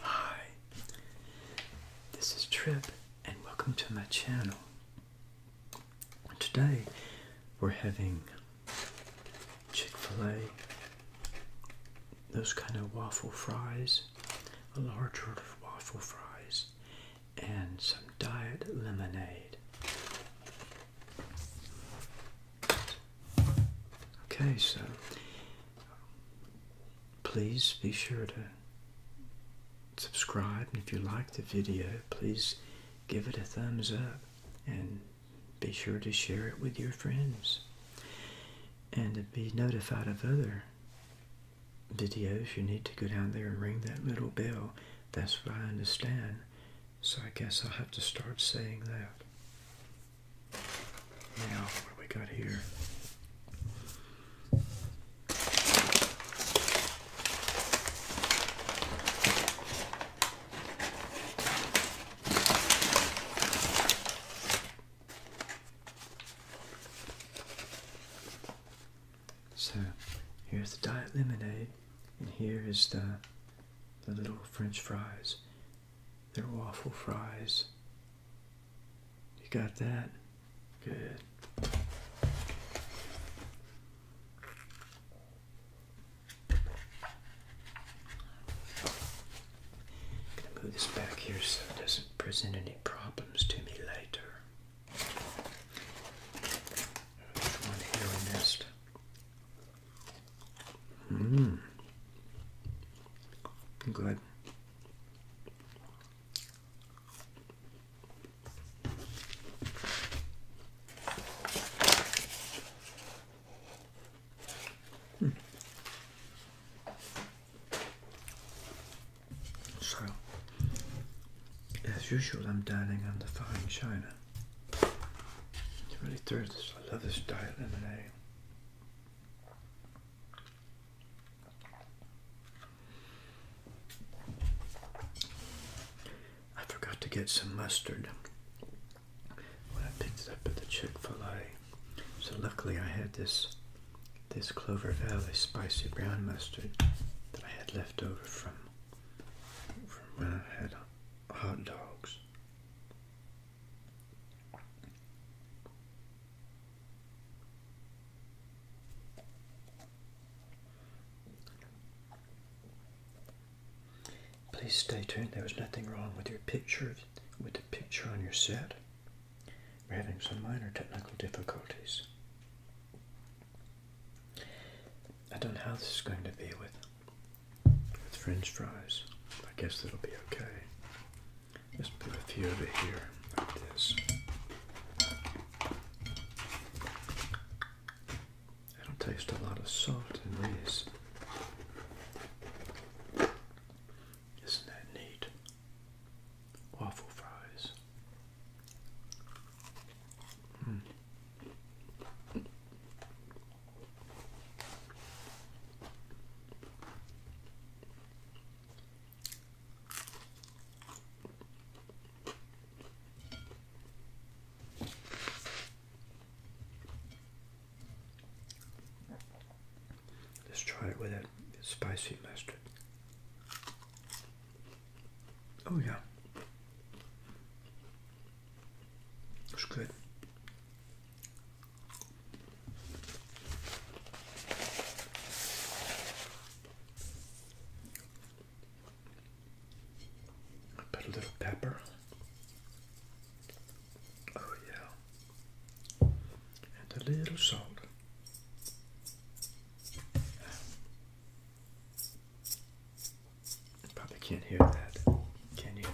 Hi, this is Trip, and welcome to my channel. Today we're having Chick fil A, those kind of waffle fries, a large order of waffle fries, and some diet lemonade. Okay, so please be sure to subscribe. And if you like the video, please give it a thumbs up and be sure to share it with your friends. And to be notified of other videos, you need to go down there and ring that little bell. That's what I understand. So I guess I'll have to start saying that. Now, what do we got here? So here's the diet lemonade, and here is the the little French fries. They're waffle fries. You got that? Good. gonna move this back here so it doesn't present any problems to me later. one here we missed? Mmm. Good. Hmm. So, as usual, I'm dining on the fine china. It's really thirsty. I love this diet lemonade. I forgot to get some mustard when I picked up at the Chick-fil-A. So luckily I had this this Clover Valley spicy brown mustard that I had left over from when I had hot dogs. Please stay tuned. There was nothing wrong with your picture, with the picture on your set. We're having some minor technical difficulties. I don't know how this is going to be with with french fries. I guess that'll be okay. Just put a few over here, like this. I don't taste a lot of salt in these. Isn't that neat? Waffle fries. Hmm. Let's try it with that spicy mustard. Oh, yeah. That's good. put a little pepper. Oh, yeah. And a little salt. I Probably can't hear that, can you?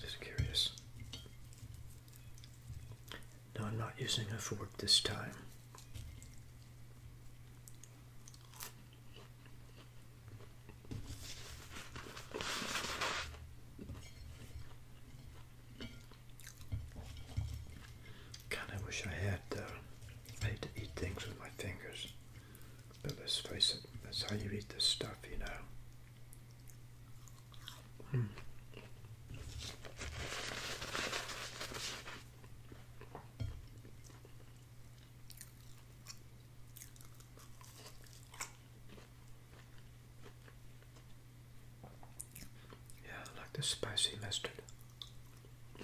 Just curious. No, I'm not using a fork this time. Kind of wish I had, though. I hate to eat things with my fingers. But let's face it, that's how you eat this stuff, you know. Hmm. Yeah, I like the spicy mustard.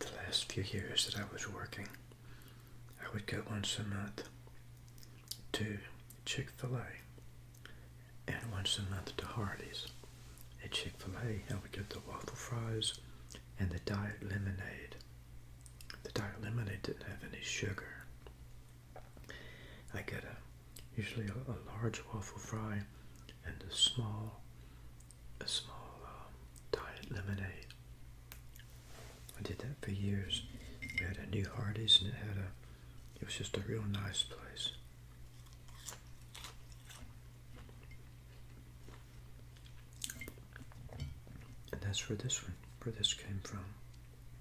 The last few years that I was working, I would go once a month to Chick fil A and once a month to Hardee's. At Chick fil A, I would get the waffle fries and the diet lemonade. The diet lemonade didn't have any sugar, I get a usually a, large waffle fry and a small a small diet um, lemonade. I did that for years. We had a new Hardee's and it had a it was just a real nice place. And that's where this one, where this came from.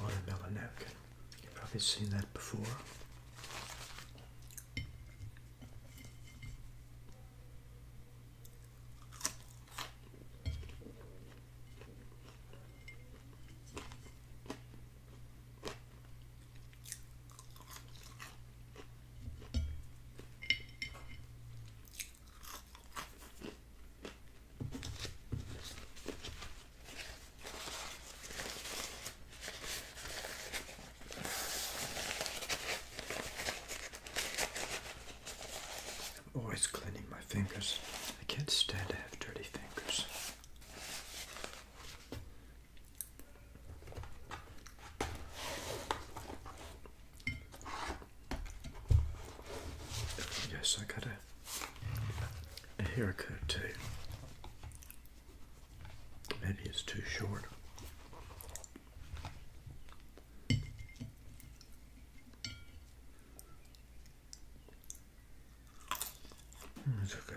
What about a napkin? You've probably seen that before. I'm always cleaning my fingers. I can't stand to have dirty fingers. Yes, I gotta a haircut too. Maybe it's too short. Hmm, it's okay.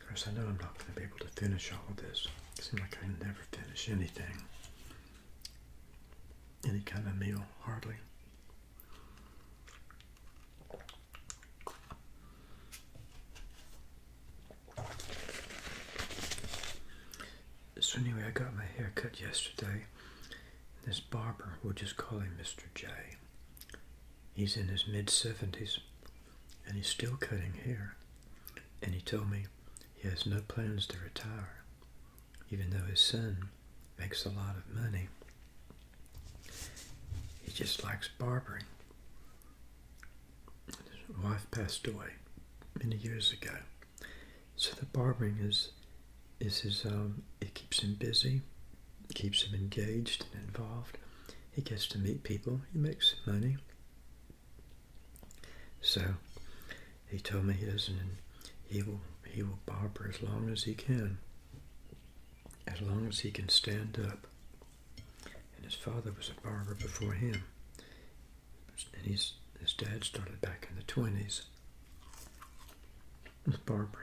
Of course, I know I'm not going to be able to finish all of this. It seems like I never finish anything. Any kind of meal, hardly. So anyway, I got my hair cut yesterday. This barber, we'll just call him Mr. J. He's in his mid-70s and he's still cutting hair. And he told me he has no plans to retire, even though his son makes a lot of money. He just likes barbering. His wife passed away many years ago. So the barbering is, is his, um, it keeps him busy, keeps him engaged and involved. He gets to meet people, he makes money, so he told me, listen, he will he will barber as long as he can, as long as he can stand up. And his father was a barber before him, and his his dad started back in the twenties barbering.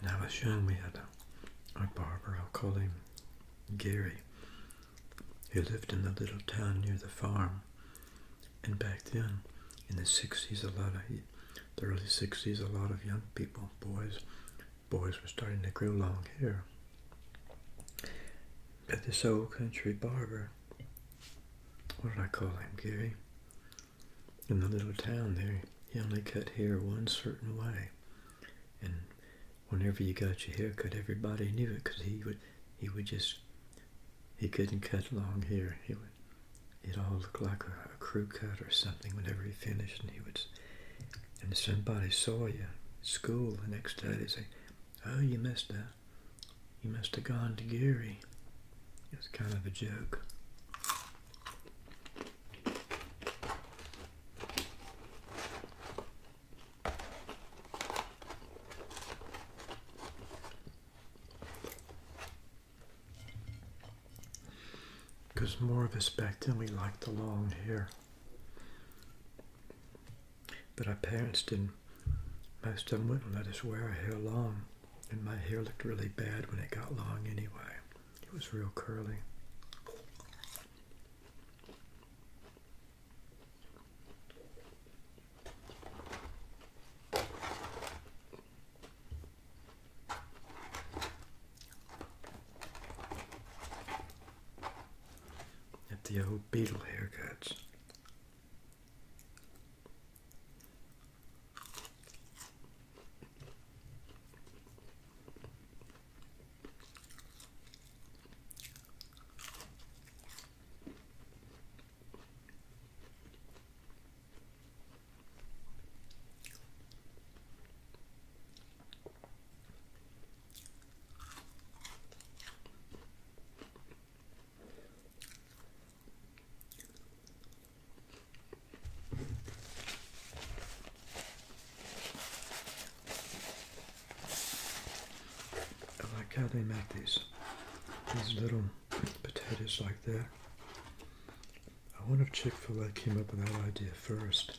When I was young, we had a, barber, I'll call him Gary, He lived in the little town near the farm. And back then, in the 60s, a lot of the early 60s, a lot of young people, boys, boys were starting to grow long hair. But this old country barber, what did I call him, Gary? In the little town there, he only cut hair one certain way. And whenever you got your hair cut, everybody knew it because he would, he would just, he couldn't cut long hair. He would, it all looked like a, a crew cut or something whenever he finished. And he would, and somebody saw you at school the next day, they say, Oh, you must have, you must have gone to Gary. It's kind of a joke. Because more of us back then we liked the long hair. But our parents didn't. Most of them wouldn't let us wear our hair long, and my hair looked really bad when it got long anyway. It was real curly at the old beetle haircuts. I like how they make these these little potatoes like that. I wonder if Chick-fil-A came up with that idea first.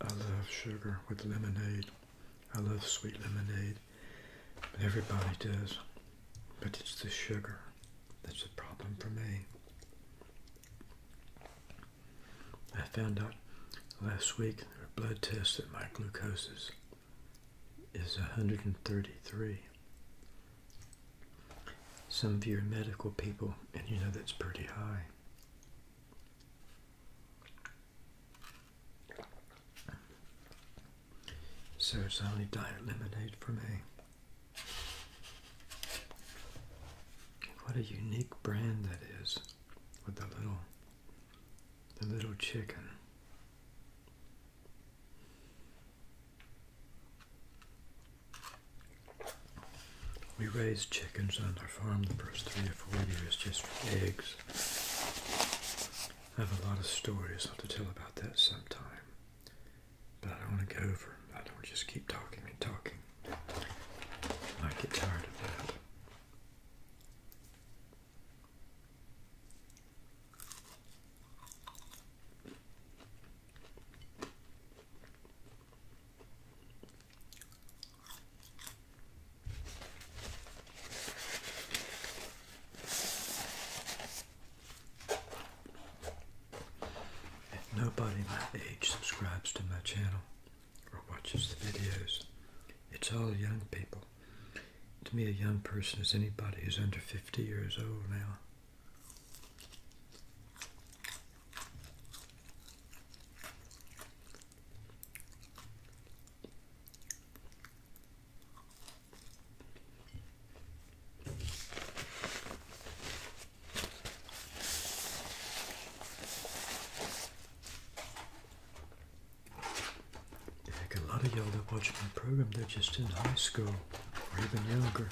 I love sugar with lemonade. I love sweet lemonade. Everybody does. But it's the sugar that's the problem for me. I found out last week a blood test that my glucose is, is 133. Some of you are medical people, and you know that's pretty high. So it's only diet lemonade for me. What a unique brand that is with the little the little chicken. We raised chickens on our farm the first three or four years just for eggs. I have a lot of stories I'll have to tell about that sometime. But I don't want to go over. I don't just keep talking and talking. I get tired of that. If nobody my age subscribes to my channel or watches the videos, it's all young people. To me, a young person is anybody who's under 50 years old now. Heck, a lot of y'all that watch my program, they're just in high school or even younger.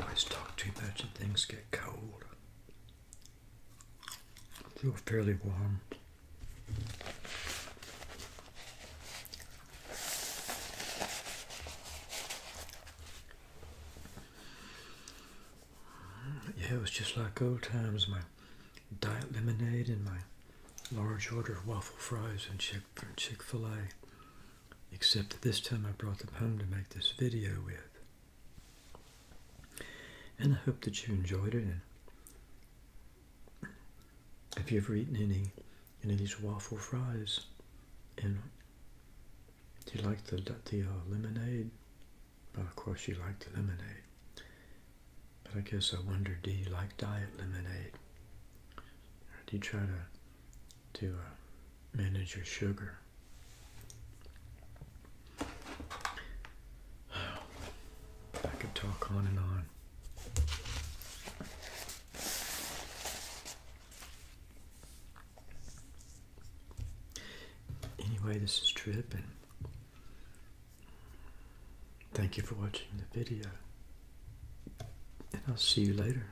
always talk too much and things get cold. So fairly warm. Yeah, it was just like old times. My diet lemonade and my large order of waffle fries and Chick Fil A. Except that this time I brought them home to make this video with. And I hope that you enjoyed it. Have you ever eaten any any of these waffle fries? And do you like the the uh, lemonade? Well, of course you like the lemonade. But I guess I wonder, do you like diet lemonade? do you try to to uh, manage your sugar? I could talk on and on. Anyway, this is Trip, thank you for watching the video. And I'll see you later.